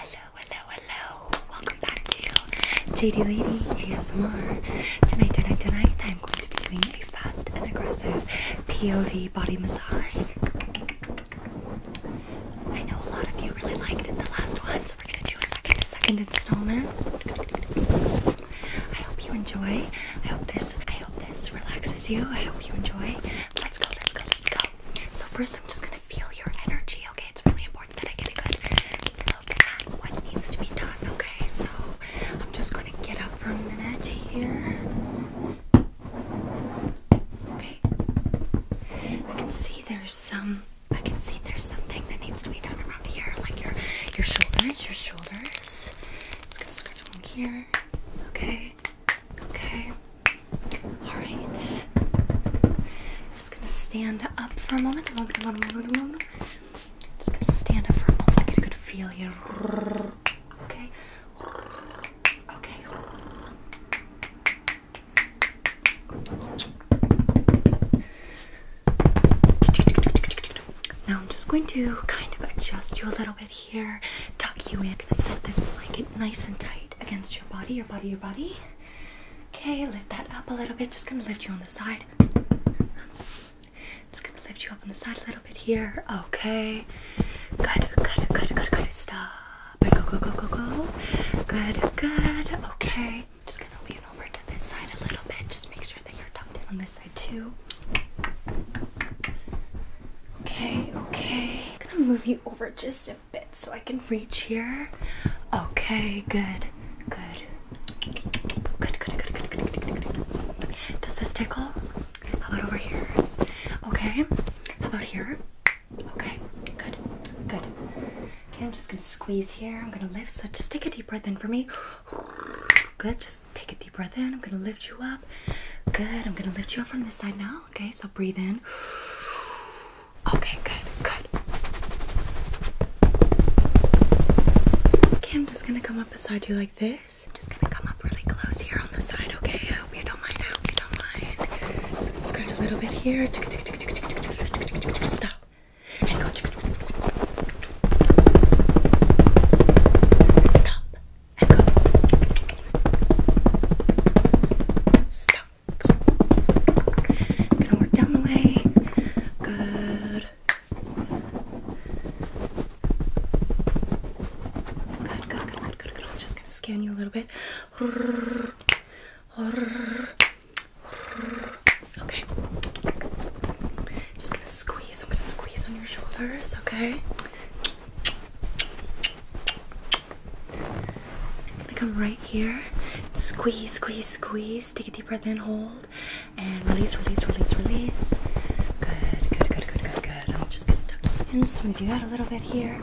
Hello, hello, hello. Welcome back to JD Lady ASMR. Tonight, tonight, tonight, I'm going to be doing a fast and aggressive POV body massage. I know a lot of you really liked the last one, so we're going to do a second, second installment. I hope you enjoy. I hope this. I hope this relaxes you. I hope you enjoy. Let's go, let's go, let's go. So first I'm just gonna feel your energy, okay? It's really important that I get a good look at what needs to be done, okay? So I'm just gonna get up for a minute here. Okay. I can see there's some I can see there's something that needs to be done around here, like your your shoulders, your shoulders. It's gonna scratch along here. Okay. Okay. Alright. I'm just gonna stand up for a moment. A moment, Just gonna stand up for a moment, get a good feel here. Okay. Okay. Now I'm just going to kind of adjust you a little bit bit here, tuck you in. I'm gonna set this blanket nice and tight against your body, your body, your body. Okay, lift that up a little bit. Just gonna lift you on the side. Just gonna lift you up on the side a little bit here. Okay. Good, good, good, good, good. Stop. Go, go, go, go, go. Good, good. Okay. Just gonna lean over to this side a little bit. Just make sure that you're tucked in on this side too. Okay, okay. I'm gonna move you over just a bit so I can reach here. Okay, good, good. Good, good, good, good, good, Does this tickle? How about over here? Okay, how about here? Okay, good, good. Okay, I'm just gonna squeeze here. I'm gonna lift, so just take a deep breath in for me. Good, just take a deep breath in. I'm gonna lift you up up. Good. I'm gonna lift you up from this side now. Okay, so breathe in. Okay, good, good. Okay, I'm just gonna come up beside you like this. I'm just gonna come up really close here on the side, okay? I hope you don't mind. I hope you don't mind. I'm just gonna scratch a little bit here. Stop. And go. Stop. Stop. Go. I'm gonna work down the way. good, good, good, good, good. I'm just gonna scan you a little bit. Okay. Just gonna squeeze. I'm gonna squeeze on your shoulders, okay? I'm gonna come right here. Squeeze, squeeze, squeeze. Take a deep breath in, hold, and release, release, release, release. Good, good, good, good, good, good. I'm just gonna tuck you in, smooth you out a little bit here.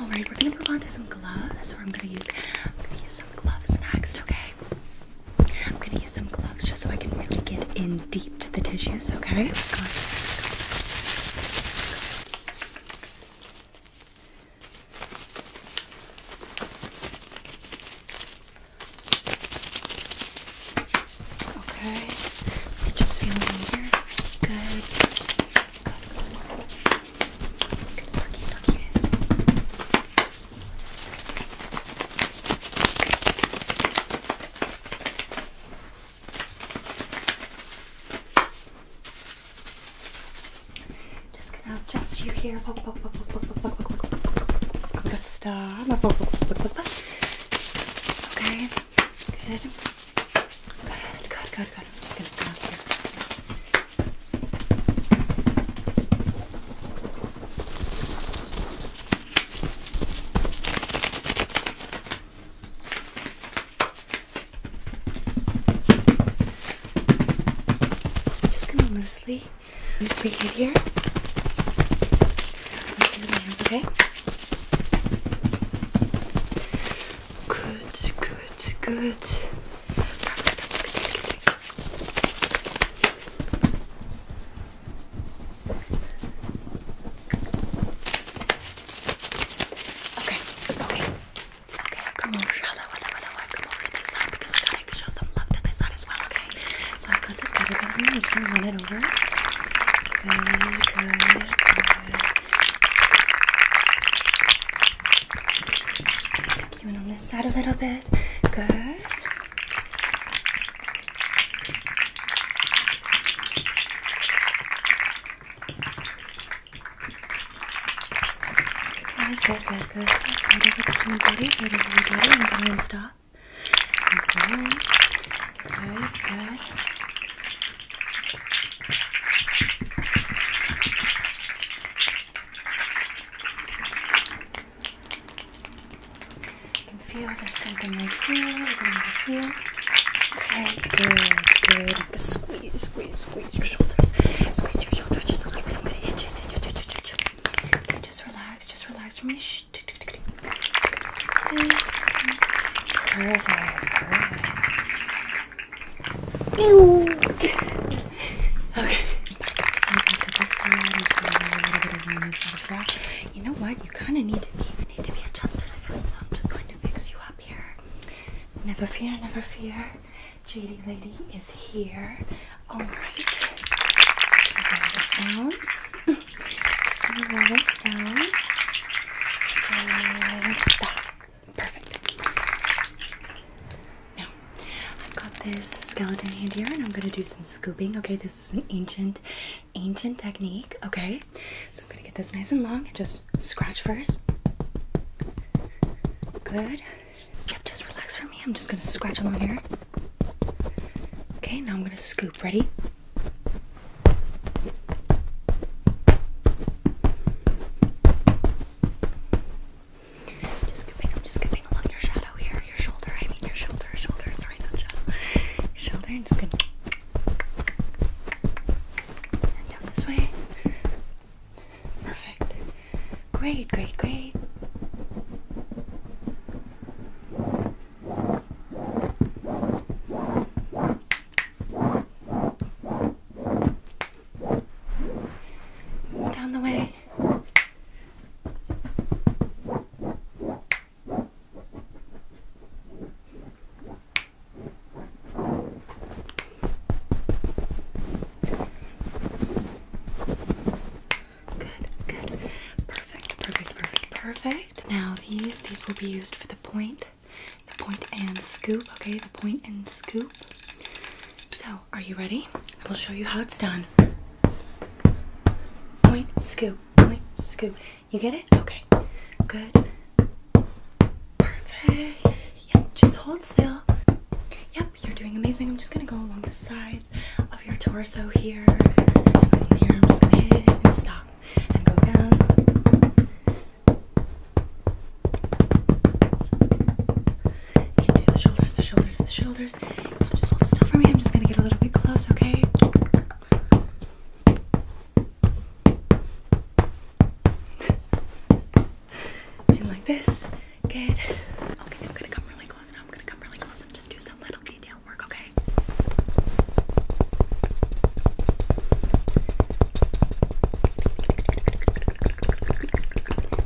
Alright, we're gonna move on to some gloves, or I'm gonna use I'm gonna use some gloves next, okay? I'm gonna use some gloves just so I can really get in deep to the tissues, okay? Go on. Go on. Go on. Okay, just feel it here. Good. Good, good. I'm just gonna tuck you, tuck you in. Just gonna adjust you here. Okay. Good. Good, good, good, good. I'm just gonna come out here. I'm just gonna loosely, loosely get here. okay? Good, good, good. Okay, okay. Okay, i have come over. I'll, I'll, I'll, come over this side because I gotta show some love to this side as well, okay? So I've got this category. I'm just gonna run it over. Good, good, good. you in on this side a little bit. Good. Good, good, good, good. Right over to my body, right over my body. I'm going and stop. Okay. Good, good. You can feel there's something right here, right here. Okay, good, good. Squeeze, squeeze, squeeze your shoulders. Squeeze your shoulders just a little bit. I'm gonna itch it, itch it, itch it, itch it. Okay, just relax, just relax for me. Shh. Perfect, perfect. Ew. okay, to this side. You know what? You kind of need to be, need to be adjusted again, so I'm just going to fix you up here. Never fear, never fear. JD Lady is here. Alright. Roll this Just gonna roll this down. Perfect. Now, I've got this skeleton hand here and I'm gonna do some scooping. Okay, this is an ancient, ancient technique. Okay, so I'm gonna get this nice and long and just scratch first. Good. just relax for me. I'm just gonna scratch along here. Okay, now I'm gonna scoop. Ready? just scooping, I'm just scooping along your shadow here, your shoulder. I mean your shoulder, shoulder, sorry, not shadow. Your shoulder, and just gonna and down this way. Perfect. Great, great, great. Down the way. Good, good. Perfect, perfect, perfect, perfect. Now these, these will be used for the point, the point and scoop, okay? The point and scoop. So, are you ready? I will show you how it's done. Point, scoop, point, scoop. You get it? Okay. Good. Perfect. Yep, just hold still. Yep, you're doing amazing. I'm just gonna go along the sides of your torso here. Here, I'm just gonna hit and stop and go down. And do the shoulders, the shoulders, the shoulders. Now just hold still for me. I'm just gonna get a little bit close, okay? and like this. Good. Okay, I'm gonna come really close now. I'm gonna come really close and just do some little detail work, okay?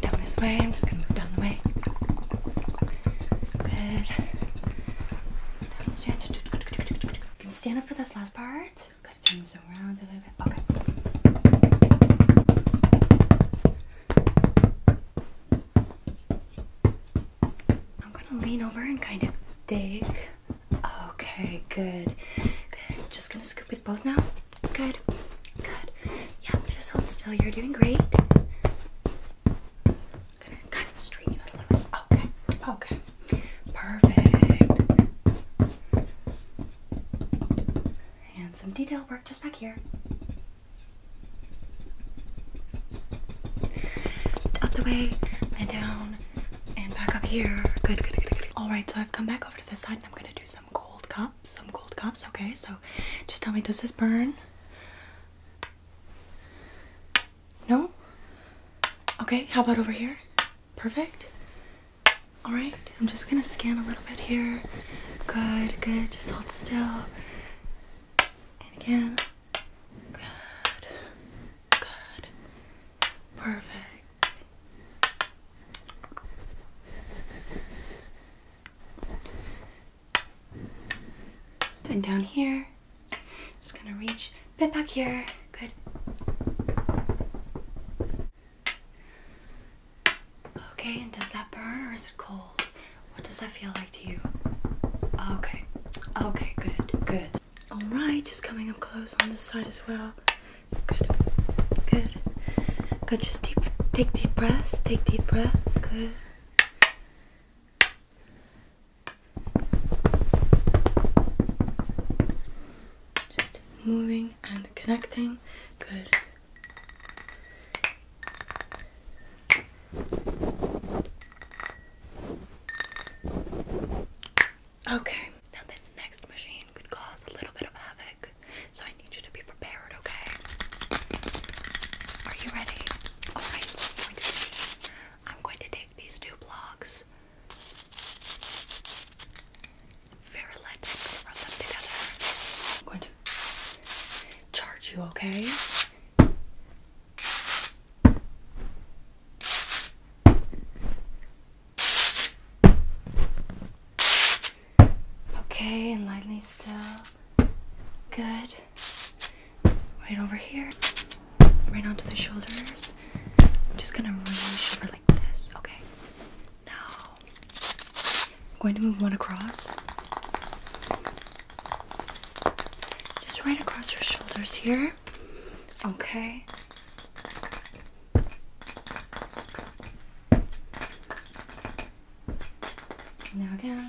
Down this way. I'm just gonna move down the way. Good. You can stand up for this last part gotta turn this around a little bit. Okay. I'm gonna lean over and kind of dig. Okay, good. Good. just gonna scoop with both now. Good. Good. Yeah, just hold still. You're doing great. gonna straighten you out a little bit. Okay. Okay. Perfect. And some detail work just back here. Up the way and down and back up here. Good, good, good, good. All right, so I've come back over to this side and I'm gonna do some gold cups, some gold cups, okay? So just tell me, does this burn? No? Okay, how about over here? Perfect. All right, I'm just gonna scan a little bit here. Good, good. Just hold still. And again. Good. Good. Perfect. And down here, just gonna reach Bend back here. Good. Okay, and does that burn or is it cold? What does that feel like to you? Okay. Okay, good, good. Alright, just coming up close on this side as well. Good. Good. Good. Just deep take deep breaths. Take deep breaths. Good. Just moving and connecting. Good. Okay. Now this next machine could cause a little bit of havoc, so I need you to be prepared, okay? Are you ready? Alright, I'm going to take these two blocks very light, I'm gonna them together. I'm going to charge you, okay? Okay, and lightly still. Good. Right over here, right onto the shoulders. I'm just gonna really Okay. Now I'm going to move one across. Just right across your shoulders here. Okay. Now again.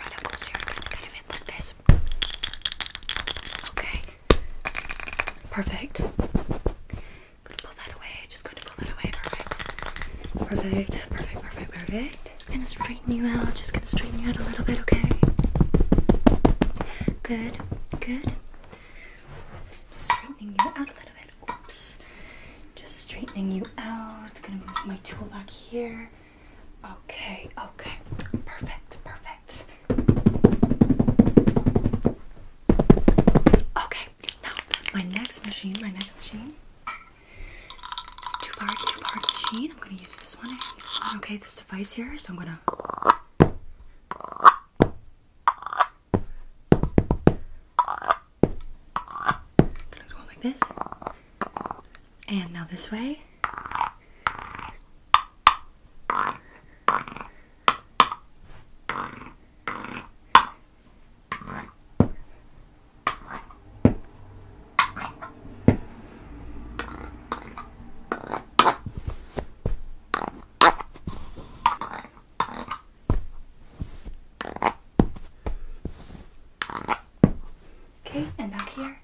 Reticles here, I'm gonna kind of it like this. Okay. Perfect. I'm gonna pull that away. Just going to pull that away. Perfect. Perfect. Perfect. Perfect. Perfect. Just gonna straighten you out. Just gonna straighten you out a little bit, okay? Good. Good. Just straightening you out a little bit. Oops. Just straightening you out. Gonna move my tool back here. Okay, okay. Perfect, perfect. Okay, now my next machine, my next machine. It's two part, two part machine. I'm gonna use this one. Okay, this device here. So I'm gonna. Gonna go like this. And now this way. Okay, and back here.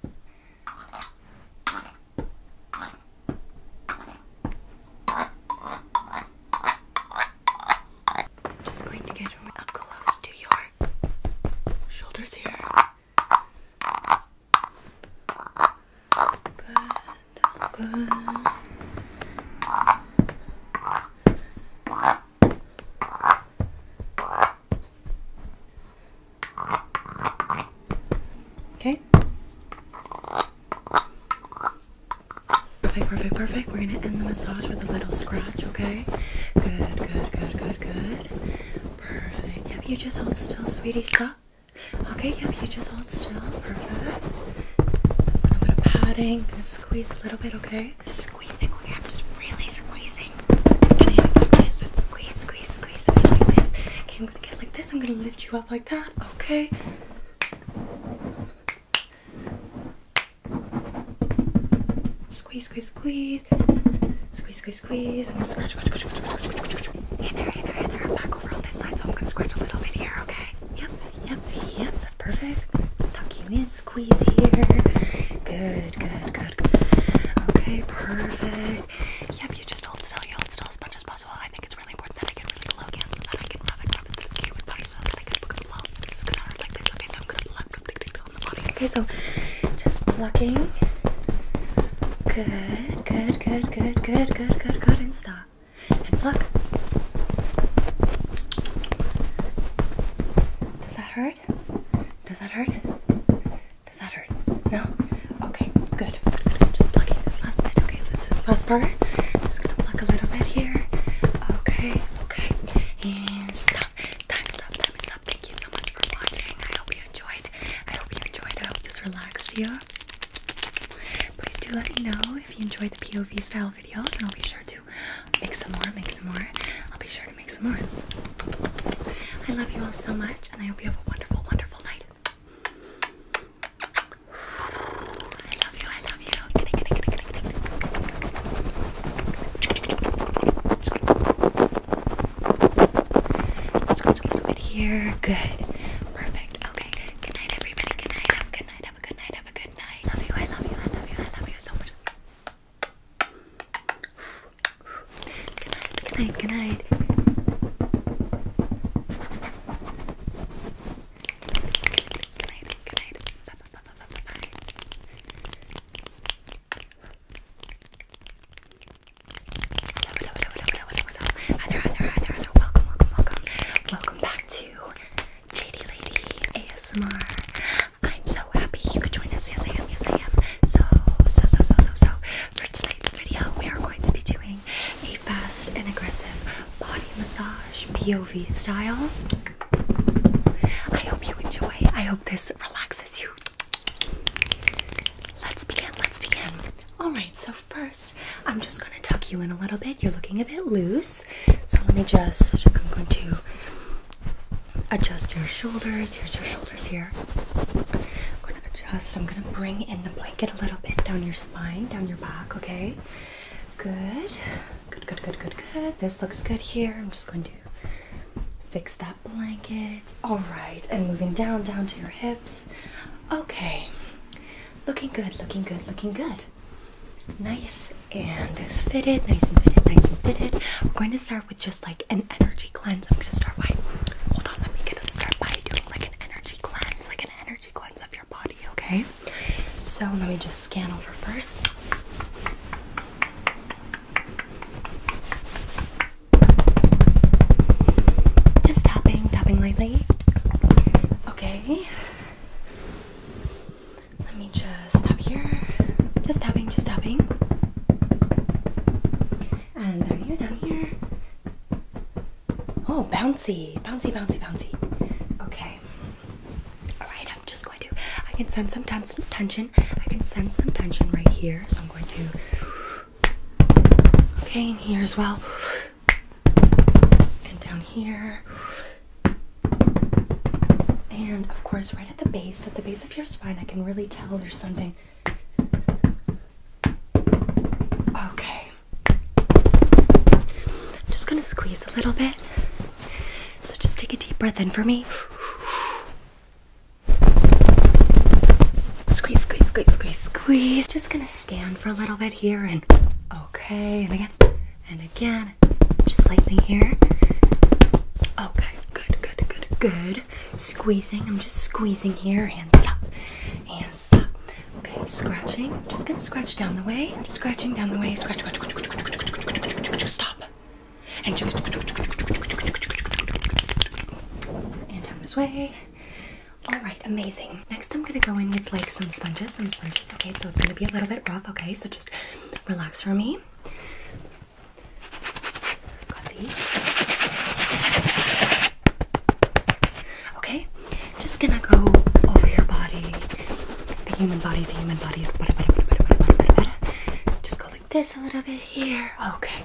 Just going to get up close to your shoulders here. Good. Okay. Perfect, perfect, perfect. We're gonna end the massage with a little scratch, okay? Good, good, good, good, good. Perfect. Yep, you just hold still, sweetie. Stop. Okay, yep, you just hold still. Perfect a little bit of padding. I'm gonna squeeze a little bit, okay? Just squeezing, okay? I'm just really squeezing. I'm gonna hit like this and squeeze, squeeze, squeeze, and like this. Okay, I'm gonna get like this. I'm gonna lift you up like that, okay? Squeeze, squeeze, squeeze. Squeeze, squeeze, squeeze. I'm gonna scratch, scratch, scratch, scratch, scratch, scratch, scratch. Hey there, hey there, hey there. I'm back over on this side, so I'm gonna scratch a little bit here, okay? Yep. Yep, yep, perfect. Tuck you in, squeeze here. Good, good, good, good. Okay, perfect. Yep, you just hold still, you hold still as much as possible. I think it's really important that I get really low down so that I can rub it, rub it through the cue with body so that I can blow. This is gonna hurt like this. Okay, so I'm gonna pluck, pluck, pluck, pluck on the body. Okay, so just plucking. Good, good, good, good, good, good, good, good, and stop. And look. Does that hurt? Does that hurt? Does that hurt? No? Okay, good. I'm just plucking this last bit. Okay, this last part. just gonna pluck a little bit here. Okay, okay. And stop. Time stop, time stop. Thank you so much for watching. I hope you enjoyed. I hope you enjoyed. I hope this relaxed you. Please do let me know if you enjoyed the POV style videos and I'll be sure to make some more, make some more. I'll be sure to make some more. I love you all so much and I hope you have a wonderful, wonderful night. I love you, I love you. Good night, good night, good night, good night, good night. Scratch a little bit here. Good. Perfect. Okay. Good night everybody. Good night. Have a good night. Have a good night. Have a good good night. Love you, I love you, I love you, I love you so much. Good night, good night, good night. Good night, good night. Welcome, welcome, welcome. Welcome back to JD Lady ASMR. I'm so happy you could join us. Yes, I am. Yes, I am. So, so, so, so, so, so. For tonight's video, we are going to be doing a fast and aggressive body massage POV style. I hope you enjoy. I hope this relaxes you. Let's begin. Let's begin. Alright, so first, I'm just going to tuck you in a little bit. You're looking a bit loose. So let me just, I'm going to adjust your shoulders. Here's your shoulders here. I'm going to adjust. I'm going to bring in the blanket a little bit down your spine, down your back, okay? Good. Good, good, good, good, good. This looks good here. I'm just going to fix that blanket. All right. And moving down, down to your hips. Okay. Looking good, looking good, looking good. Nice and fitted, nice and fitted, nice and fitted. We're going to start with just like an energy cleanse. I'm going to start by, hold on, let me get start by doing like an energy cleanse, like an energy cleanse of your body, okay? So let me just scan over first. Just tapping, tapping lightly. Okay. Let me just tap here. Just tapping, just tapping. And down here, down here. Oh, bouncy, bouncy, bouncy, bouncy. Okay. Alright, I'm just going to. I can sense some tension. I can sense some tension right here. So I'm going to. Okay, in here as well and down here. And of course, right at the base, at the base of your spine, I can really tell there's something. Okay. I'm just gonna squeeze a little bit. So just take a deep breath in for me. Squeeze, squeeze, squeeze, squeeze, squeeze. Just gonna stand for a little bit here and okay, and again and again, just lightly here. Okay, good, good, good, good. Squeezing, I'm just squeezing here. Hands up, hands up. Okay, scratching. I'm just gonna scratch down the way. I'm just scratching down the way. Scratch, scratch, scratch, scratch, scratch, scratch, scratch, scratch, scratch, scratch. Stop. And and down this way. All right, amazing next I'm gonna go in with like some sponges, some sponges, okay? So it's gonna be a little bit rough, okay? So just relax for me. Okay, just gonna go over your body, the human body, the human body. Just go like this a little bit here. Okay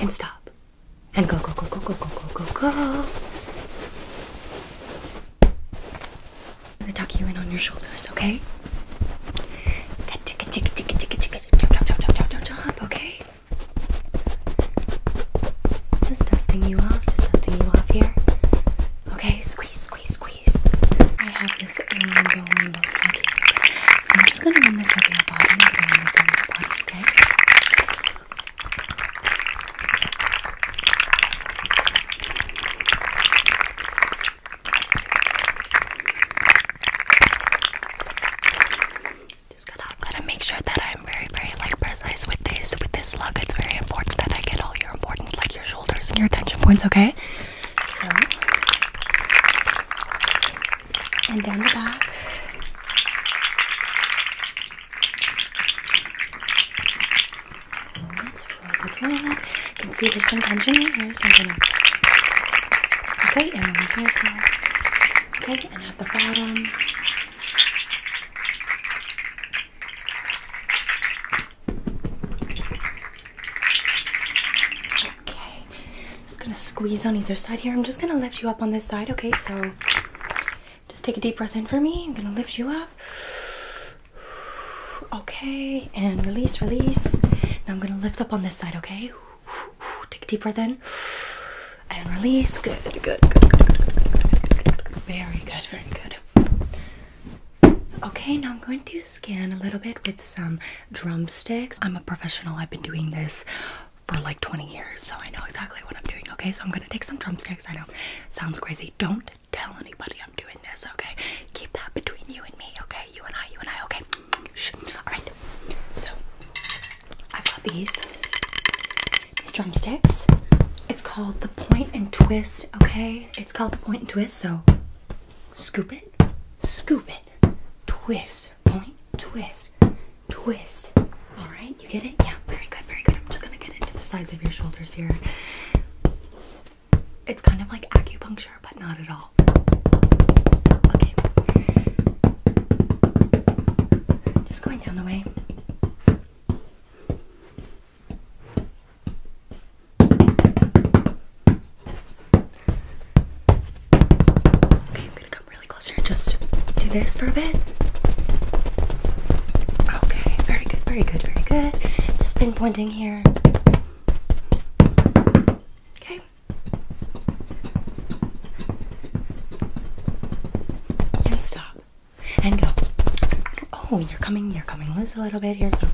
And stop. And go, go, go, go, go, go, go, go, go. I'm gonna tuck you in on your shoulders, okay? Okay. Just dusting you off, just dusting you off here. Okay, squeeze, squeeze, squeeze. I have this so I'm just gonna run this over your body and bring this over your body, okay? make sure that I'm very, very like precise with this, with this look. It's very important that I get all your important, like your shoulders and your attention points, okay? So and down the back. You can see there's some tension right here, so I'm gonna. Okay, and over here as well. Okay, and at the bottom. Okay. I'm just gonna squeeze on either side here. I'm just gonna lift you up on this side, okay? So just take a deep breath in for me. I'm gonna lift you up. Okay, and release, release. Now I'm gonna lift up on this side, okay? Take a deep breath in and release. Good, good, good, good, good, good, good, good, good. Very good, very good. Okay, now I'm going to scan a little bit with some drumsticks. I'm a professional. I've been doing this for like 20 years, so I know exactly what I'm doing. Okay, so I'm gonna take some drumsticks. I know sounds crazy. Don't tell anybody I'm doing this. Okay, keep that between you and me. Okay, you and I, you and I. Okay, all right. So I've got these these drumsticks. It's called the point and twist. Okay, it's called the point and twist. So scoop it, scoop it, twist, point, twist, twist. All right, you get it? Yeah, very good, very good. I'm just gonna get into the sides of your shoulders here. It's kind of like acupuncture, but not at all. Okay. Just going down the way. Okay, I'm gonna come really closer and just do this for a bit. Okay, very good, very good, very good. Just pinpointing here. Okay. And stop. And go. Oh, you're coming, you're coming loose a little bit here, so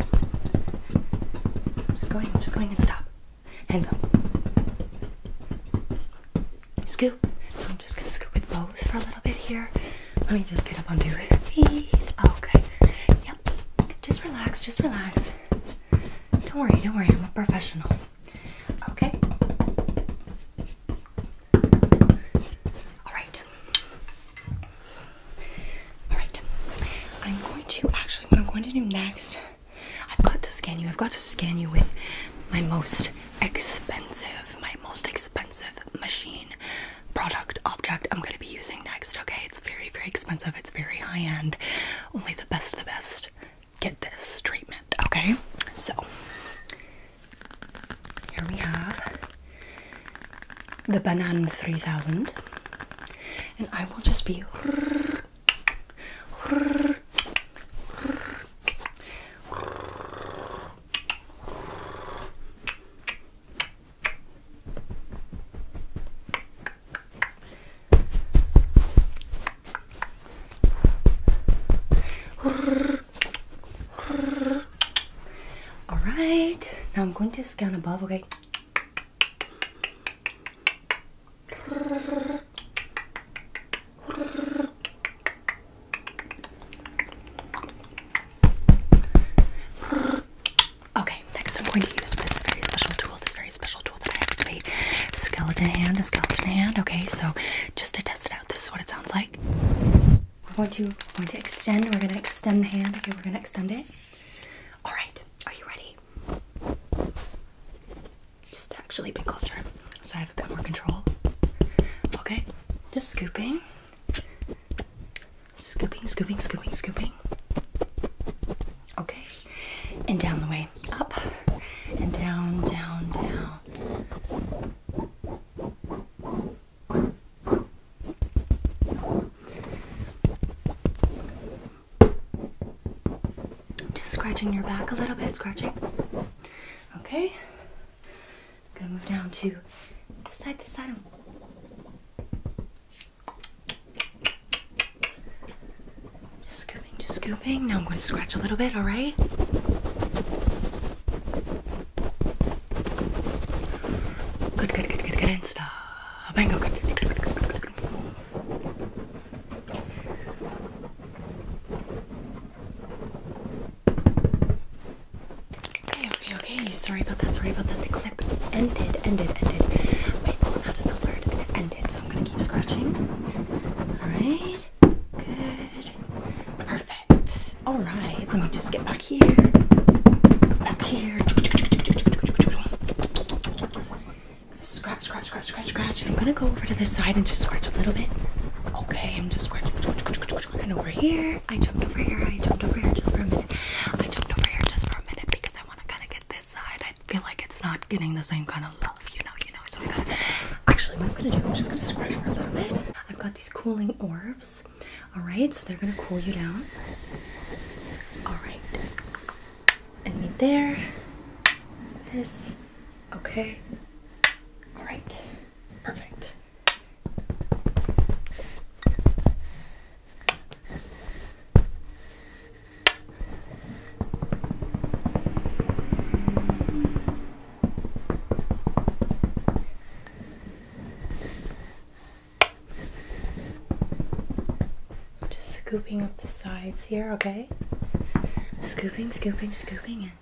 just going, I'm just going and stop and go. Scoop. I'm just gonna scoop with both for a little bit here. Let me just get up onto your feet. Okay. Yep. Just relax, just relax. Don't worry, don't worry, I'm a professional. Okay. Alright. Alright. I'm going to actually what I'm going to do next I've got to scan you. I've got to scan you with my most expensive, my most expensive machine product object I'm gonna be using next. Okay, it's very, very expensive. It's very high end. Only the best of the best get this treatment. Okay, so here we have the Banan 3000, and I will just be all right, now I'm going to scan above, okay? Okay, next I'm going to use this very special tool, this very special tool that I have made. Skeleton hand, a skeleton hand. Okay, so just to test it out, this is what it sounds like. We're going to we're going to extend, we're gonna extend the hand. Okay, we're gonna extend it. Alright, are you ready? Just actually a bit closer so I have a bit more control. Okay, just scooping. Scooping, scooping, scooping, scooping. Okay, and down the way. Up and down, down, down. Just scratching your back a little bit, scratching. Okay. gonna move down to this side, this side. Just scooping, just scooping. Now I'm gonna scratch a little bit, alright? Good, good, good, good, good. stop. And go, good, good, good, good, good. Okay, okay, okay. Sorry about that. Sorry about that. The clip ended, ended, ended. My phone had an alert and it ended, so I'm gonna keep scratching. All right. Good. Perfect. All right. Let me just get back here. Back here. Scratch, scratch, scratch, scratch, scratch. I'm gonna go over to this side and just scratch a little bit. Okay, I'm just scratching. And over here, I jumped over here. I jumped over here just for a minute. I jumped over here just for a minute because I want to kind of get this side. I feel like it's not getting the same kind of love, you know, you know. So I am going to Actually, what I'm gonna do? I'm just gonna scratch for a little bit. I've got these cooling orbs. All right, so they're gonna cool you down. All right. And need there. This. Okay. All right. Perfect. I'm just scooping up the sides here, okay? Scooping, scooping, scooping in.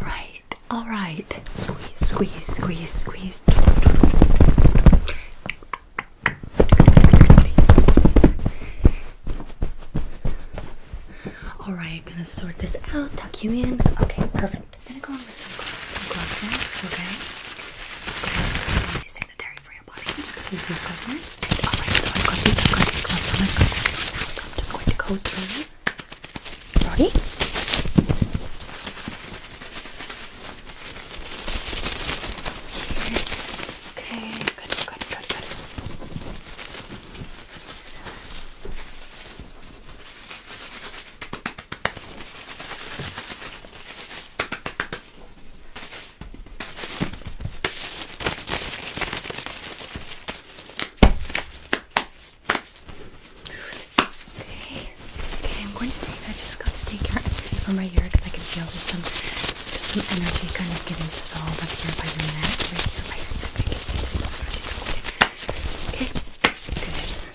Right, all right. Squeeze, squeeze, squeeze, squeeze. All right, I'm gonna sort this out, tuck you in. Okay, perfect. I'm gonna go on with some, some gloves okay? They're really sanitary for your body. I'm just gonna use these gloves Alright, so i got these, gloves on, i now, am just going to go your body. Okay, good, good, good, good. Okay. Okay, I'm going to think I just got to take your from right here because I can feel there's some there's some energy kind of getting stalled up here by your neck. Right here by your neck. I can see there's some energy circulating. Okay. Good.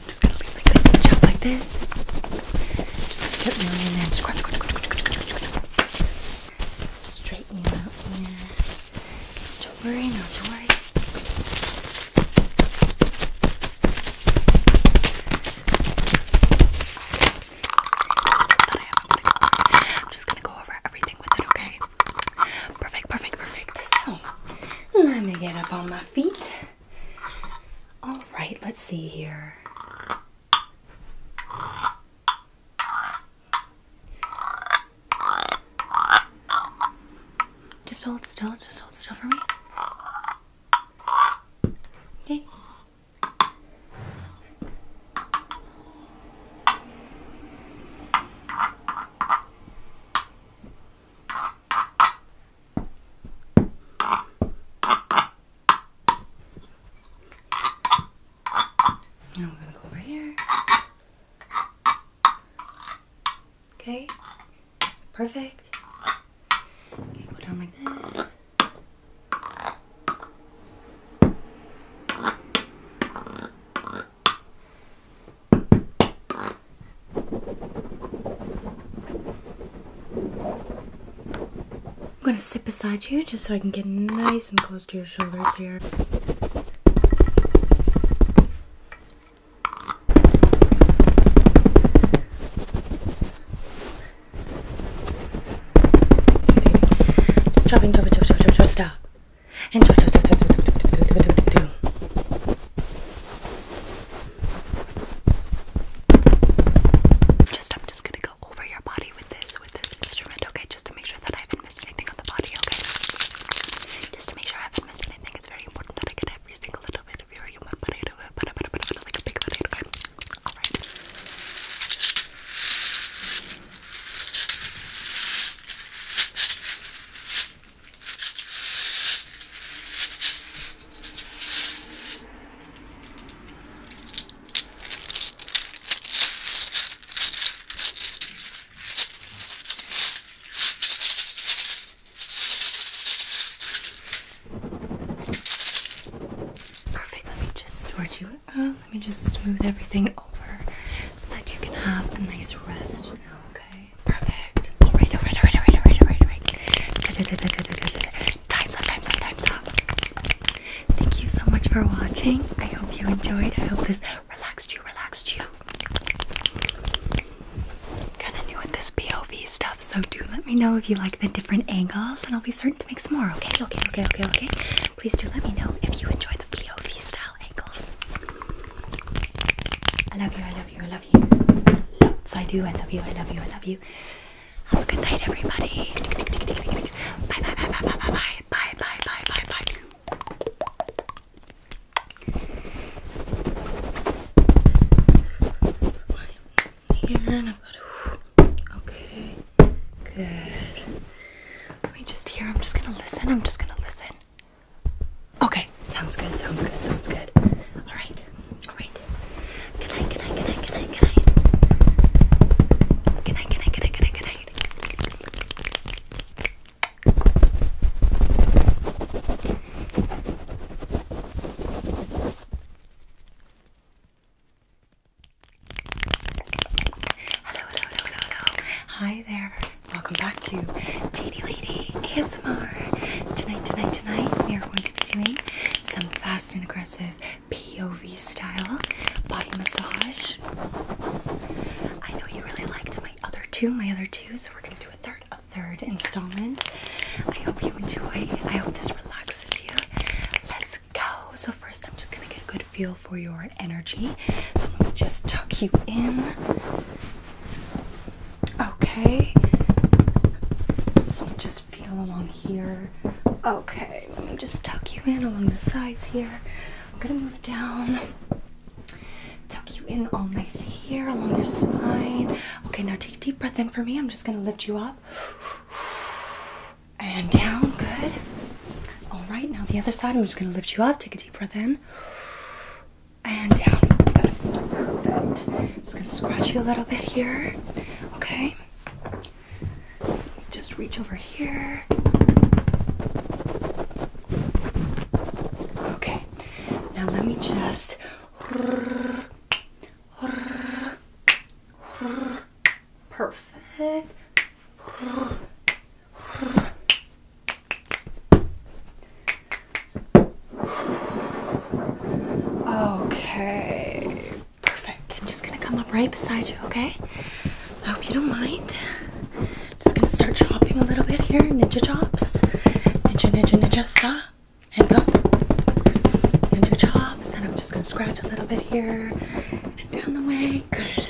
I'm just gonna lean like like this. Just get really in there Straighten out here. Don't worry, not to worry. I'm just gonna go over everything with it, okay? Perfect, perfect, perfect. So, let me get up on my feet. All right, let's see here. Just hold still, just hold still for me. Okay. Now we're gonna go over here. Okay, perfect. Okay, go down like this. I'm gonna sit beside you just so I can get nice and close to your shoulders here. Just chopping, chopping, chopping, chopping, chopping, stop. Just, I'm just gonna go over your body with this, with this instrument, okay? Just to make sure that I haven't missed anything on the body, okay? Just to make sure I haven't missed anything, it's very important that I get every single little bit of your human body, All right. Perfect. Let me just sort you out. Let me just smooth everything over so that you can have a nice rest now, okay? Perfect. Alright, alright, alright, alright, alright, alright, alright time's up, time's up, time's up. Thank you so much for watching. I hope you enjoyed. I hope this relaxed you, relaxed you. Kinda new with this POV stuff, so do let me know if you like the different angles, and I'll be certain to make some more. Okay, okay, okay, okay, okay. Please do let me know if you enjoy the POV style angles. I love you, I love you, I love you. Lots I do, I love you, I love you, I love you. Have a good night, everybody. Bye, bye, bye, bye, bye, bye, bye, bye, bye, bye, bye. Here I'm Okay, good. Let me just hear. I'm just gonna listen. I'm just gonna listen. Okay, sounds good. Sounds good. Sounds good. All right. All right. Good night, good night, good night, good night, good night. Good night, good night, good night, good night, good night. Hello, hello, hello, hello, hello. Hi there. Welcome back to JD Lady ASMR. Tonight, tonight, tonight, we are going to be doing some fast and aggressive POV style body massage. I know you really liked my other two, my other two, so we're going to do a third, a third installment. I hope you enjoy. I hope this relaxes you. Let's go. So first, I'm just going to get a good feel for your energy. So let me just tuck you in. Okay. just feel along here. Okay, let me just tuck you in along the sides here. I'm gonna move down, tuck you in all nice here along your spine. Okay, now take a deep breath in for me. I'm just gonna lift you up and down. Good. All right, now the other side. I'm just gonna lift you up. Take a deep breath in and down. Perfect. I'm just gonna scratch you a little bit here. Okay. Just reach over here. Okay. Now let me just. Perfect. Okay. Perfect. I'm just gonna come up right beside you, okay? I hope you don't mind. just gonna start chopping a little bit here. Ninja chops. Ninja, ninja, ninja, stop. And go. Ninja chops. And I'm just gonna scratch a little bit here. And down the way. Good.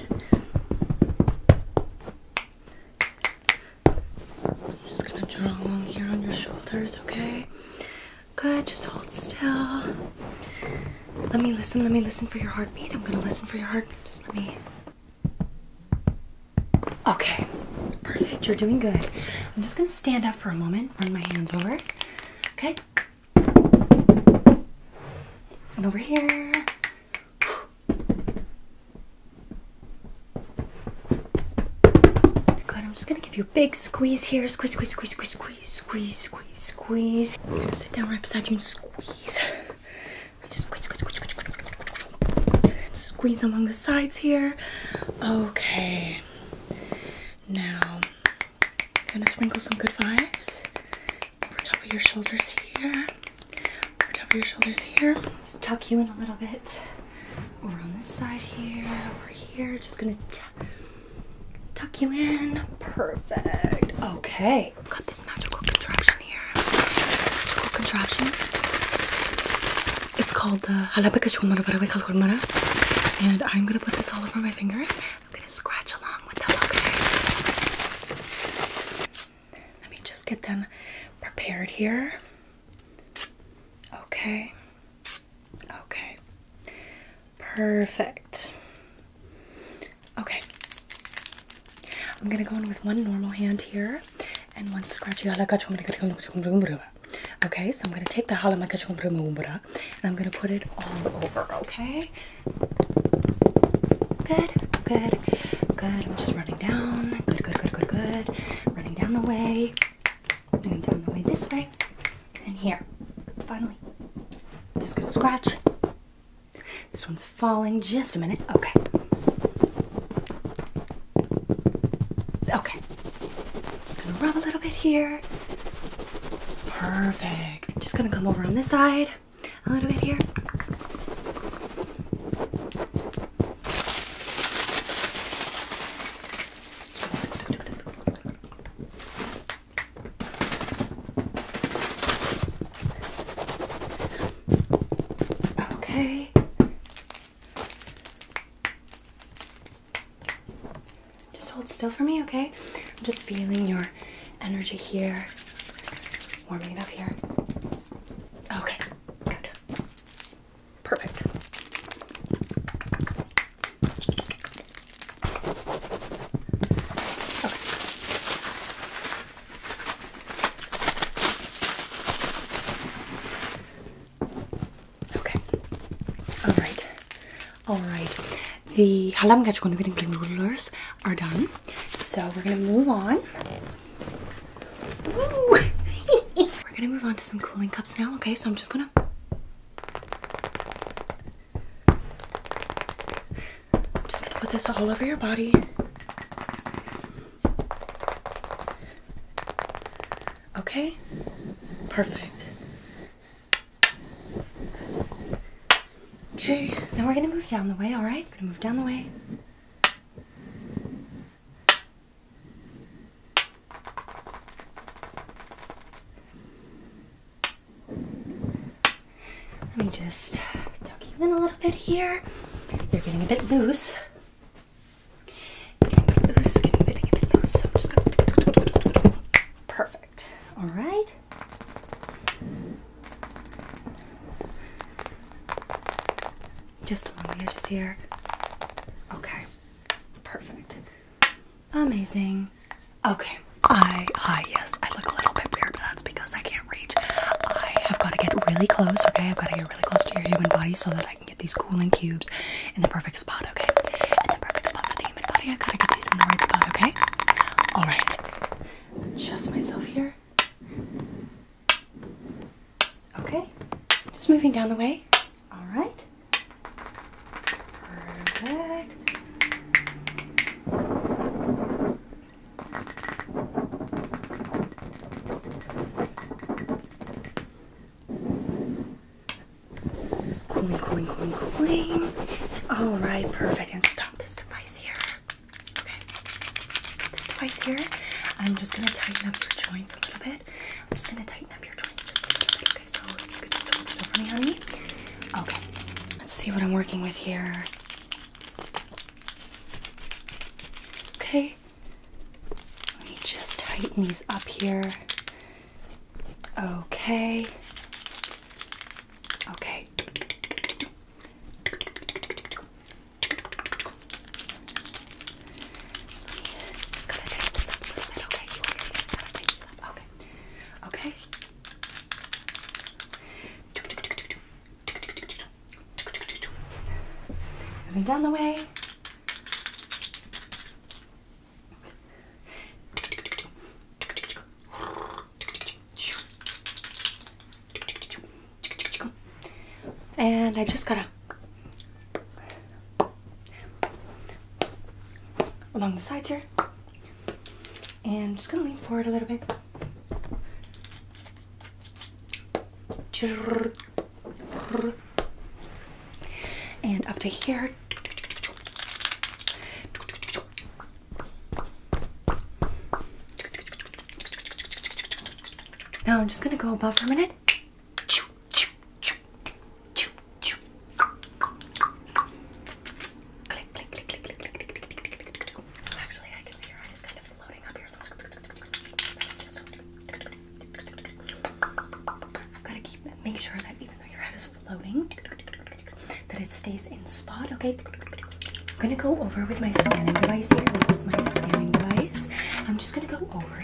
I'm just gonna draw along here on your shoulders, okay? Good, just hold still. Let me listen, let me listen for your heartbeat. I'm gonna listen for your heartbeat. Just let me. Okay, perfect. You're doing good. I'm just gonna stand up for a moment, run my hands over. Okay? And over here. Good, I'm just gonna Give you a big squeeze here. Squeeze, squeeze, squeeze, squeeze, squeeze, squeeze, squeeze, sit down right beside you and squeeze. squeeze, squeeze, squeeze, squeeze, squeeze along the sides here. Okay. Now, I'm gonna sprinkle some good vibes over top of your shoulders here. Over top of your shoulders here. Just tuck you in a little bit. Over on this side here, over here. Just gonna Tuck you in. Perfect. Okay. got this magical contraption here. magical contraption. It's called the and I'm gonna put this all over my fingers. I'm gonna scratch along with them, okay? Let me just get them prepared here. Okay. Okay. Perfect. Okay. I'm gonna go in with one normal hand here and one scratchy. Okay, so I'm gonna take the halamakachumbra and I'm gonna put it all over, okay? Good, good, good. I'm just running down. Good, good, good, good, good. Running down the way. And down the way this way. And here. Finally. Just gonna scratch. This one's falling. Just a minute. Okay. Okay. Just gonna rub a little bit here. Perfect. Just gonna come over on this side a little bit here. Okay. Just hold still for me, okay? I'm just feeling your energy here, warming it up here. Okay, Perfect. Okay. okay. All right. All right. The halam noodles are done. So we're gonna move on. we're gonna move on to some cooling cups now. Okay, so I'm just gonna I'm just gonna put this all over your body. Okay, perfect. Okay, now we're gonna move down the way, all right? We're gonna move down the way. Let me just tuck you in a little bit here. You're getting a bit loose. Getting a bit loose, getting a bit, loose. So I'm just gonna perfect. All right. Just along the edges here. Okay. Perfect. Amazing. Okay. I, I yes, I look a little bit weird, but that's because I can't reach. I have got to get really close, okay? I've got to get really close to your human body so that I can get these cooling cubes in the perfect spot, okay? In the perfect spot for the human body, I've got to get these in the right spot, okay? Alright. Trust myself here. Okay. Just moving down the way. All right. Perfect. Cooling, cooling, cooling, cooling. All right, perfect. And stop this device here. Okay. This device here. I'm just gonna tighten up your joints a little bit. I'm just gonna tighten up your joints just a little bit. Okay, so you could just hold still for me, honey. Okay, let's see what I'm working with here. Okay, let me just tighten these up here. Okay. Okay. Okay. Okay. Moving down the way. And I just gotta along the sides here. And just gonna lean forward a little bit. And up to here. Now I'm just gonna go above for a minute. Click, click, click, click, click, click, click, click, click, click, click. Actually, I can see your eyes kind of floating up here. I've got to keep make sure that even though your head is floating, that it stays in spot. Okay. I'm gonna go over with my scanning device here. This is my scanning device. I'm just gonna go over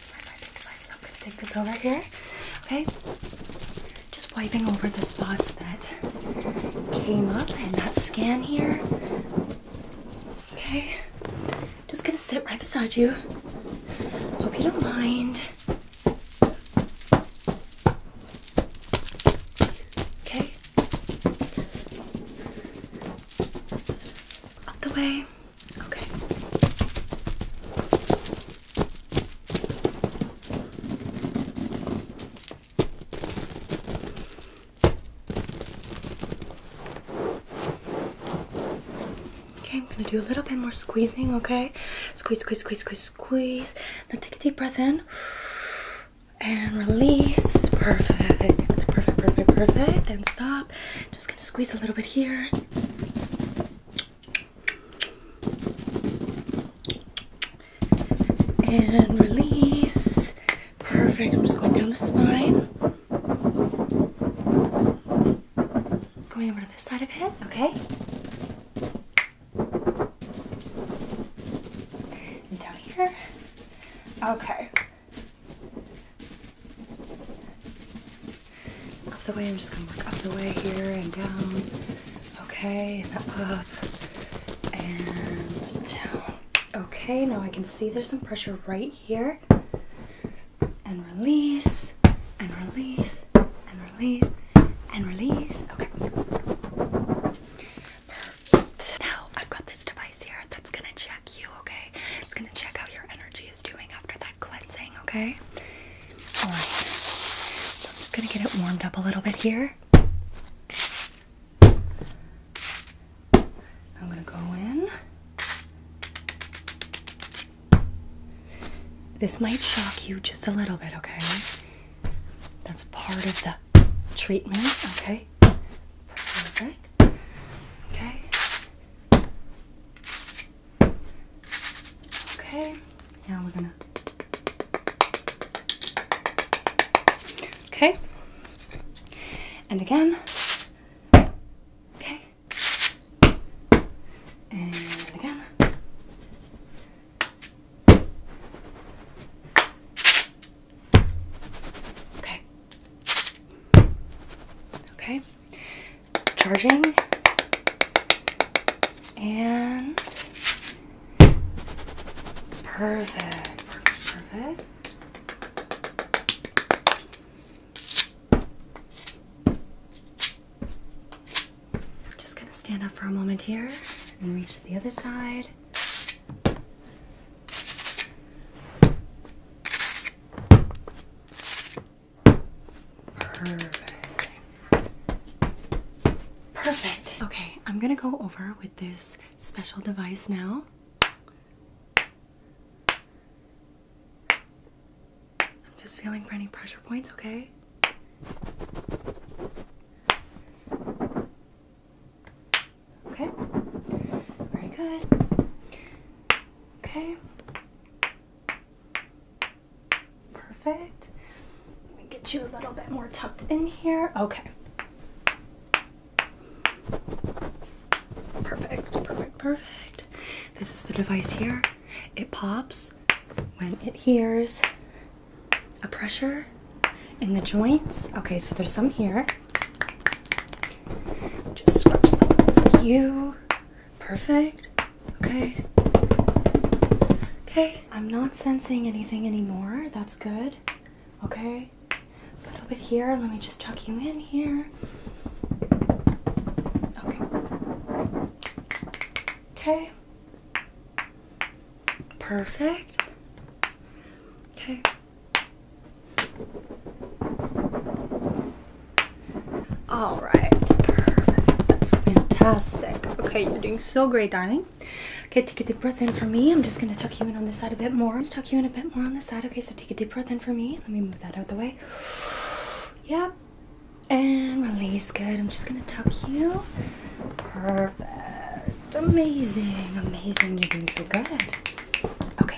I am gonna take this over here. Okay, just wiping over the spots that came up and that scan here. Okay, just gonna sit right beside you. Hope you don't mind. Okay, up the way. Okay. Okay, I'm gonna do a little bit more squeezing, okay? Squeeze, squeeze, squeeze, squeeze, squeeze. Now take a deep breath in and release. Perfect, perfect, perfect, perfect. And stop. I'm just gonna squeeze a little bit here. And release. Perfect. I'm just going down the spine. Going over to this side of it, okay? And down here. Okay. Up the way, I'm just gonna work up the way here and down. Okay, and up and down. Okay, now I can see there's some pressure right here. And release, and release, and release, and release. Okay. Perfect. Now I've got this device here that's gonna check you, okay? It's gonna check how your energy is doing after that cleansing, okay? Alright. So I'm just gonna get it warmed up a little bit here. I'm gonna go in. This might shock you just a little bit, okay? That's part of the treatment, okay? Okay. Okay, now we're gonna. Okay, and again. Okay, and again. Okay. Okay charging and perfect, perfect, perfect. Just gonna stand up for a moment here and reach to the other side. Perfect. Perfect. Okay, I'm gonna go over with this special device now. I'm just feeling for any pressure points, okay? Okay. Very good. Okay. Perfect. Let me get you a little bit more tucked in here. Okay. Perfect, perfect, perfect. This is the device here. It pops when it hears a pressure in the joints. Okay, so there's some here. Just for you. Perfect. Okay. Okay. I'm not sensing anything anymore. That's good. Okay. A little bit here. Let me just tuck you in here. Okay. Okay. Perfect. Okay. All right, perfect. That's fantastic. Okay, you're doing so great, darling. Okay, take a deep breath in for me. I'm just gonna tuck you in on this side a bit more. tuck you in a bit more on this side. Okay, so take a deep breath in for me. Let me move that out the way. Yep. And release. Good. I'm just gonna tuck you. Perfect. Amazing. Amazing. You're doing so good. Okay,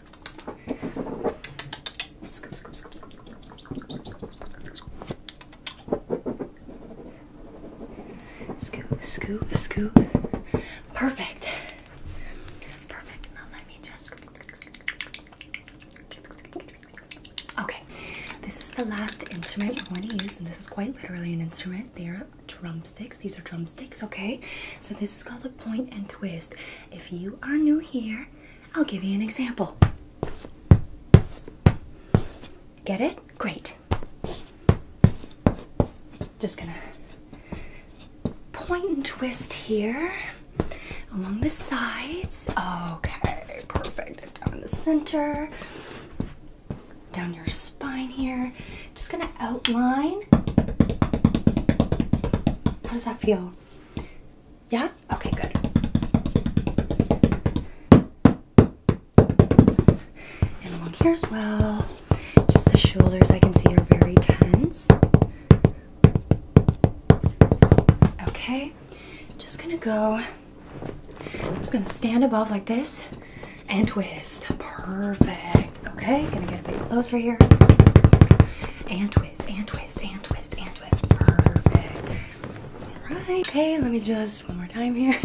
Scoop, scoop, scoop, scoop, scoop, scoop, scoop, scoop, scoop, scoop, scoop, scoop, scoop. Perfect. Perfect. Now let me just. Okay, this is the last instrument I want to use, and this is quite literally an instrument. They are drumsticks. These are drumsticks, okay? So this is called a point and twist. If you are new here, I'll give you an example. Get it? Great. Just gonna point and twist here along the sides. Okay, perfect. Down in the center, down your spine here. Just gonna outline. How does that feel? Yeah? Okay, good. And along here as well. Just the shoulders I can see are very tense. Okay, just gonna go. I'm just gonna stand above like this and twist. Perfect. Okay, gonna get a bit closer here. And twist, and twist, and twist, and twist. Perfect. Alright. Okay, let me just one more time here.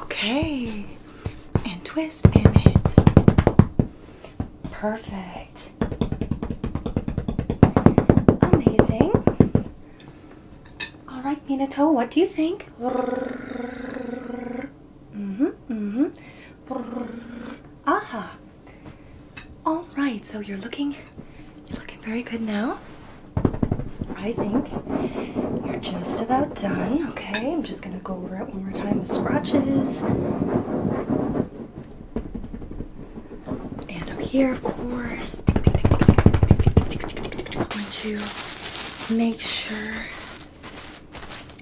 Okay. And twist and hit. Perfect. Amazing. Alright, Minato, what do you think? hmm hmm Aha. All right, so you're looking, you're looking very good now. I think you're just about done. Okay, I'm just gonna go over it one more time with scratches. And up here, of course. I'm going to make sure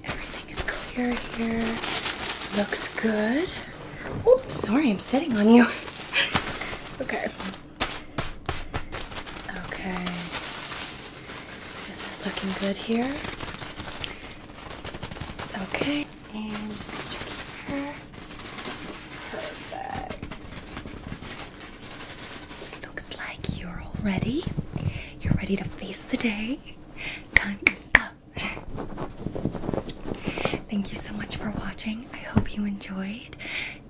Everything is clear here. Looks good. Oops, sorry, I'm sitting on you. okay. Okay. This is looking good here. Okay. And I'm just gonna check here. Perfect. Looks like you're all ready. You're ready to face the day. Time is up. Thank you so much for watching. I hope you enjoyed.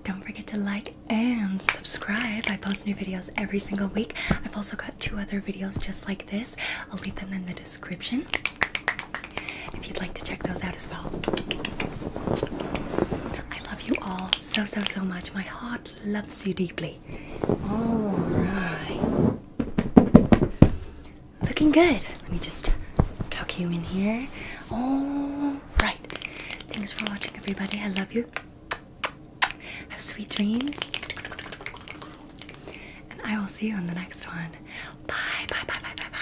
Don't forget to like and subscribe. I post new videos every single week. I've also got two other videos just like this. I'll leave them in the description if you'd like to check those out as well. I love you all so, so, so much. My heart loves you deeply lovely. All right. Looking good. Let me just tuck you in here. All right. Thanks for watching, everybody. I love you. Have sweet dreams. And I will see you in the next one. Bye, bye, bye, bye, bye, bye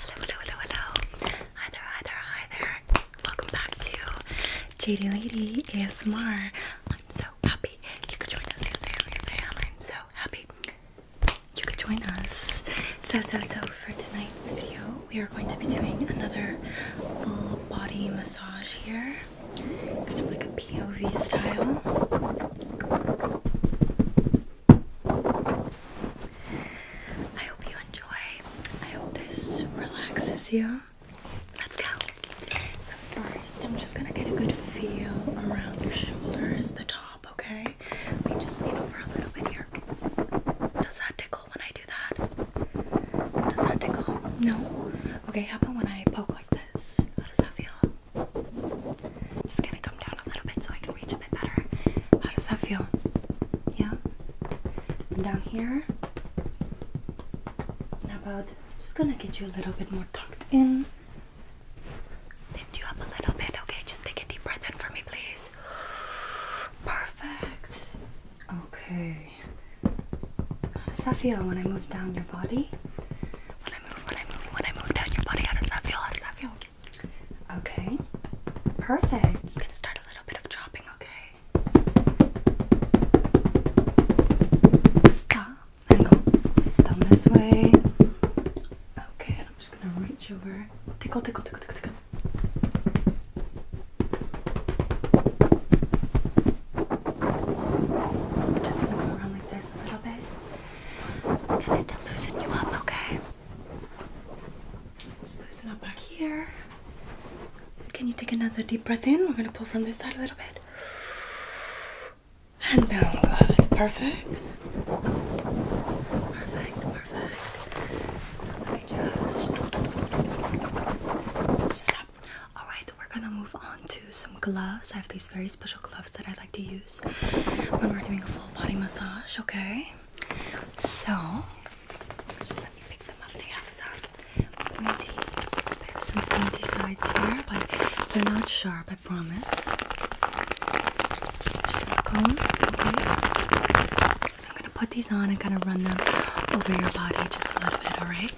hello, hello, hello. Hi there, hi there, hi there. Welcome back to JD Lady ASMR. I'm so happy you could join us. Yes, I am. Yes, I am. I'm so happy you could join us. So, so, so for tonight's video, we are going to be doing another full body massage here, kind of like a POV style. I hope you enjoy. I hope this relaxes you. Let's go. So first, I'm just gonna get a good feel around your shoulders, the top, okay? we just lean over a little bit here. Does that tickle when I do that? Does that tickle? No? Okay, how about when I poke like this? How does that feel? just gonna come down a little bit so I can reach a bit better. How does that feel? Yeah? And down here. And about just gonna get you a little bit more tucked in. Lift you up a little bit, okay? Just take a deep breath in for me, please. Perfect. Okay. How does that feel when I move down your body? When I move, when I move, when I move down your body, how does that feel? How does that feel? Okay. Perfect. just gonna start a little bit of chopping, okay? Stop and go down this way. Okay, I'm just gonna reach over. Tickle, tickle, tickle, tickle, tickle. just gonna go around like this a little bit. Kind to loosen you up, okay? Just loosen up back here. Can you take another deep breath in? We're gonna pull from this side a little bit. And down, good. Perfect. Perfect, perfect. Let me just stop. Alright, we're gonna move on to some gloves. I have these very special gloves that I like to when we're doing a full body massage, okay? So, let me pick them up. They have some pointy, sides here, but they're not sharp, I promise. They're silicone, okay? So I'm gonna put these on and kind of run them over your body just a little bit, alright?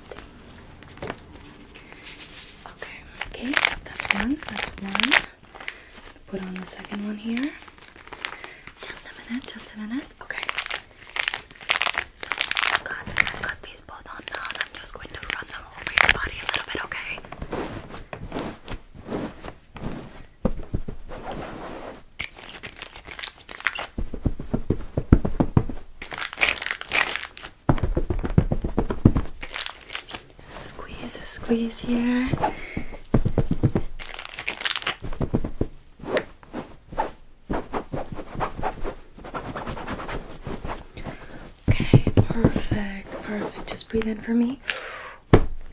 Okay, okay, that's one, that's one put on the second one here. Just a minute, just a minute. Okay. So I've got, got these both on now and I'm just going to run them over your body a little bit, okay? Squeeze, a squeeze here. Okay, perfect, perfect. Just breathe in for me.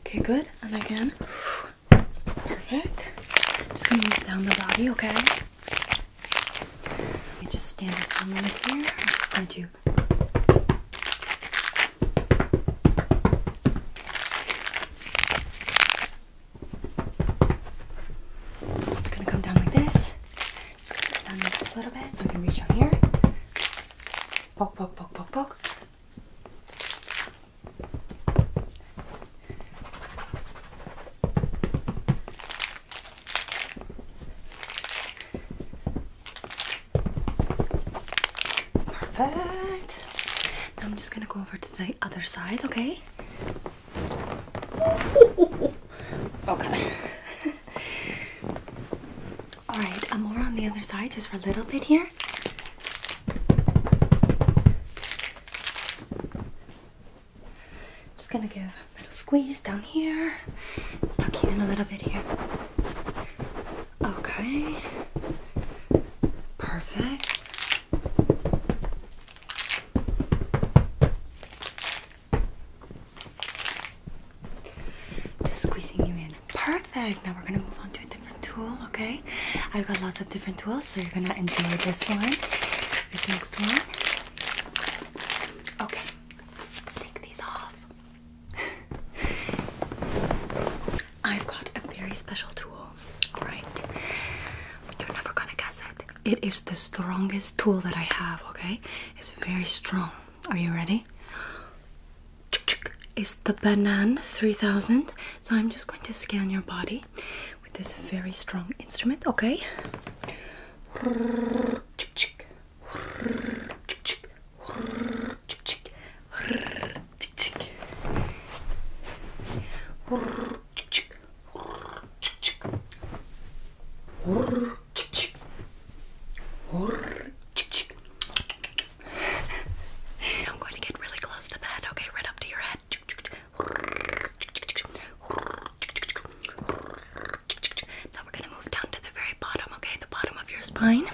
Okay, good. And again. Perfect. Just gonna move down the body, okay? You just stand up for a minute here. I'm just going to do you. It's gonna come down like this. Just gonna come down like this a little bit so I can reach down here. Poke, poke, poke, poke, poke. Perfect. I'm just gonna go over to the other side, okay? Okay. Alright, I'm over on the other side just for a little bit here. Just gonna give a little squeeze down here, tuck you in a little bit here. Okay. Perfect. Just squeezing you in. Perfect. Now we're gonna move on to a different tool, okay? I've got lots of different tools, so you're gonna enjoy this one. This next one. Okay. take these off. I've got a very special tool, alright? You're never gonna guess it. It is the strongest tool that I have, okay? It's very strong. Are you ready? It's the Banan 3000. So I'm just going to scan your body with this very strong instrument, okay? I'm going to get really close to the head, okay? Right up to your head. Now we're going to move down to the very bottom, okay? The bottom of your spine.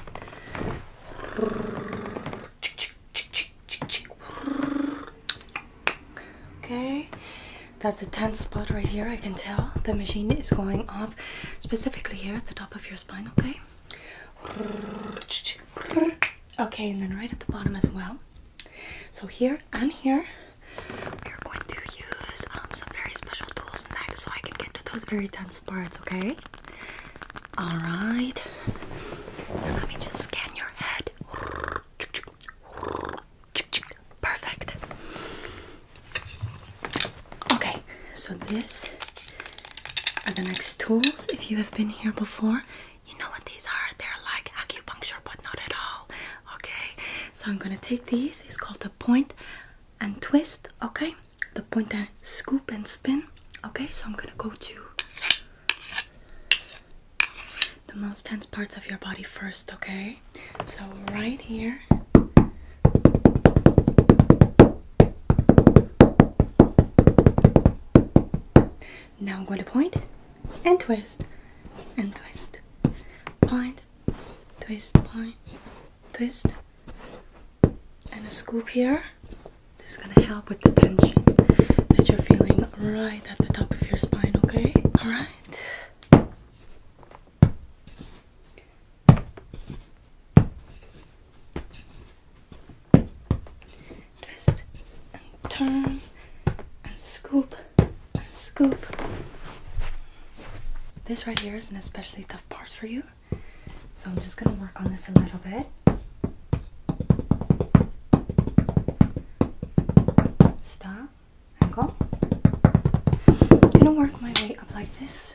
Okay, that's a tense spot right here. I can tell the machine is going off specifically here at the top of your spine. Okay, okay, and then right at the bottom as well. So, here and here, we're going to use um, some very special tools next so I can get to those very tense parts. Okay, all right. Let me just scan your head. Perfect. Okay, so these are the next tools. If you have been here before, you know what these are. They're like acupuncture, but not at all. Okay, so I'm gonna take these. It's called a point and twist. Okay, the pointer scoop and spin. Okay, so I'm gonna go to the most tense parts of your body first, okay? So, right here. Now I'm going to point and twist and twist. Point, twist, point, twist and a scoop here. This is gonna help with the tension that you're feeling right at the top of your spine, okay? Alright. Twist and turn and scoop and scoop. This right here is an especially tough part for you. So I'm just going to work on this a little bit. Stop go. going to work my way up like this.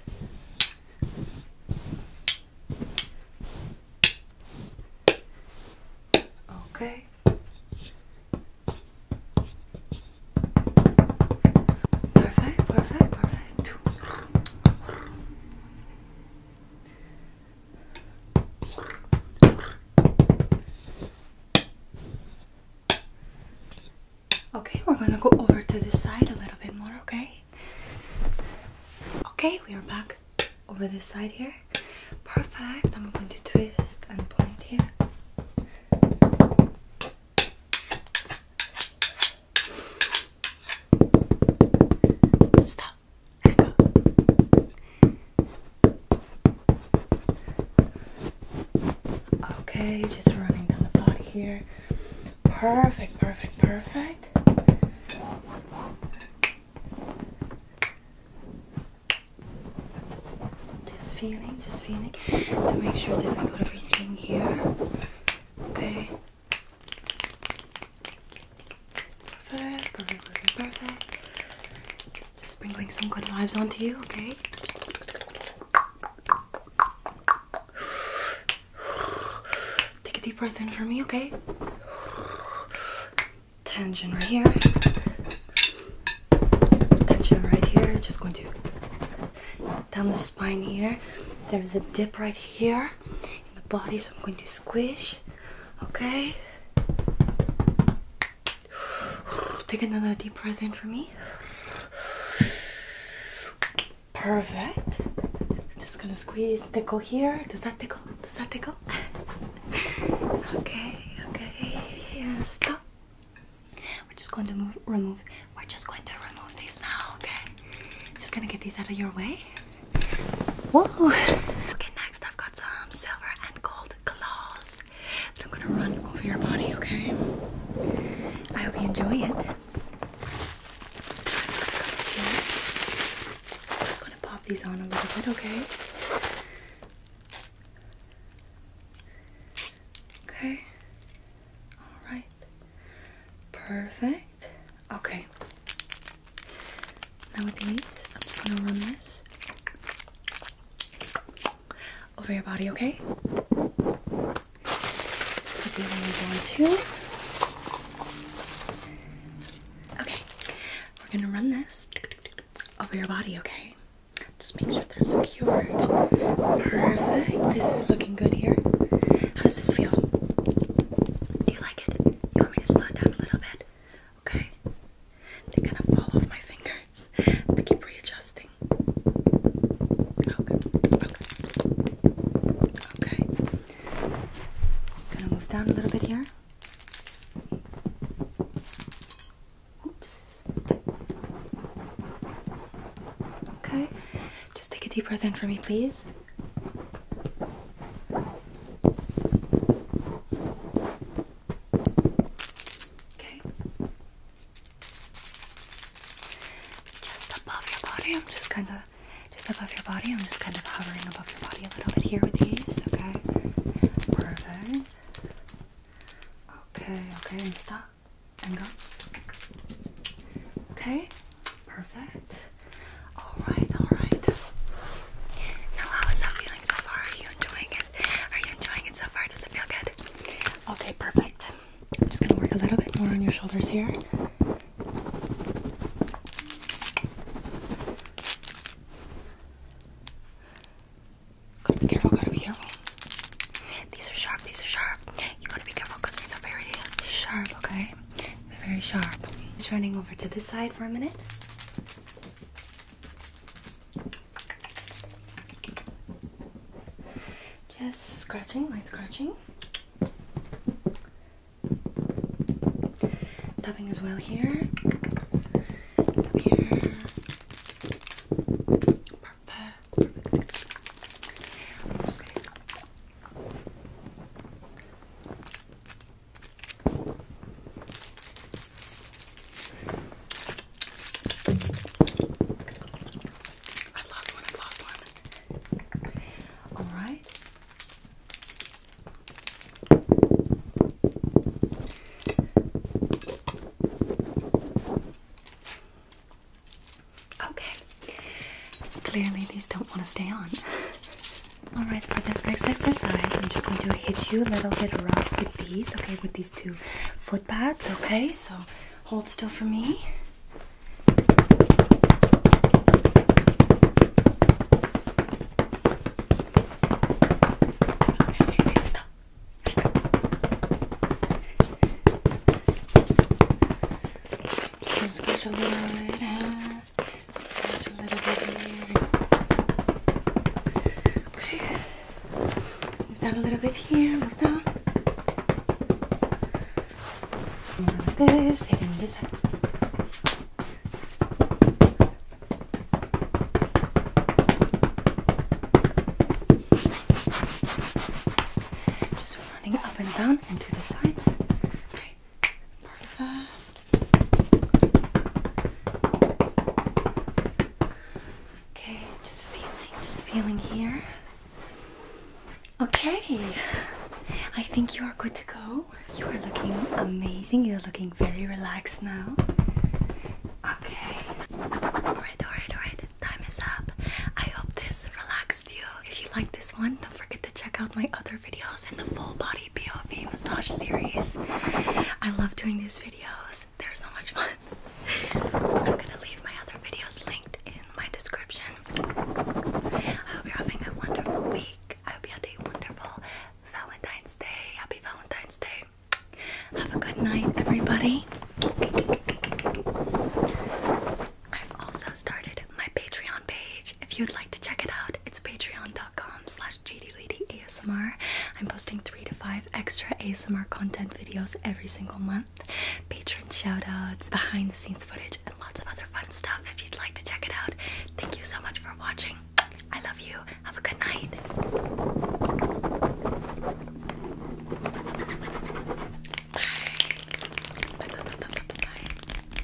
Okay. Perfect, perfect, perfect. Okay, we're gonna go over to this side a little bit more, okay? Okay, we are back over this side here. Perfect. I'm going to twist and point here. Stop. Okay, just running down the body here. Perfect, perfect, perfect. Just feeling, just feeling to make sure that I got everything here. Okay. Perfect, perfect, perfect, Just bringing some good vibes onto you, okay? Take a deep breath in for me, okay? Tension right here. Tension right here. Just going to down the spine here. There's a dip right here in the body, so I'm going to squish. Okay. Take another deep breath in for me. Perfect. Just gonna squeeze, tickle here. Does that tickle? Does that tickle? okay, okay. stop. We're just going to move, remove we're just going to remove these now, okay? Just gonna get these out of your way. Whoa! Okay, next I've got some silver and gold claws I'm gonna run over your body, okay? I hope you enjoy it. I'm just gonna pop these on a little bit, okay? Okay. All right. Perfect. Okay. Now with I'm just gonna run this over your body, okay? Okay. We're gonna run this over your body, okay? Just make sure they're secure. Perfect. This is looking good here. How does this feel? Do you like it? You want me to slow down a little bit? Okay. They kind of fall off my fingers. I keep readjusting. Okay. Okay. Okay. Gonna move down a little bit here. Oops. Okay. Just take a deep breath in for me, please. Okay. Just above your body, I'm just kind of, just above your body, I'm just kind of hovering above your body a little bit here with these, okay? Perfect. Okay, okay, and stop. And go. Okay, Perfect. Alright, alright. Now, how is that feeling so far? Are you enjoying it? Are you enjoying it so far? Does it feel good? Okay, perfect. I'm just going to work a little bit more on your shoulders here. Gotta be careful, gotta be careful. These are sharp, these are sharp. You gotta be careful because these are very sharp, okay? They're very sharp. Just running over to this side for a minute. Just scratching, light scratching. Tapping as well here. here. I love one, I love one. Alright. Okay. Clearly, these don't want to stay on. Alright, for this next exercise, I'm just going to hit you a little bit rough with these, okay, with these two foot pads, okay? So hold still for me. Just going squish a little bit out. Squish a little bit here. Okay. Move down a little bit here. Move down. this. Hitting this Just running up and down and to the sides. Okay, Okay, just feeling, just feeling here. Okay, I think you are good to go. You are looking amazing. You're looking very relaxed now. Okay. Alright, alright, alright. Time is up. I hope this relaxed you. If you like this one, don't forget to check out my other videos in the full body POV massage series. I love doing these videos, they're so much fun. I'm gonna leave my other videos linked in my description. I hope you're having a wonderful week. I hope you had a wonderful Valentine's Day. Happy Valentine's Day. Have a good night, everybody. I've also started my Patreon page. If you'd like to check it out, it's patreon.com slash gdladyasmr. I'm posting three to five extra ASMR content videos every single month. Patron shoutouts, behind the scenes footage, and lots of other fun stuff if you'd like to check it out. Thank you so much for watching. I love you. Have a good night. Bye.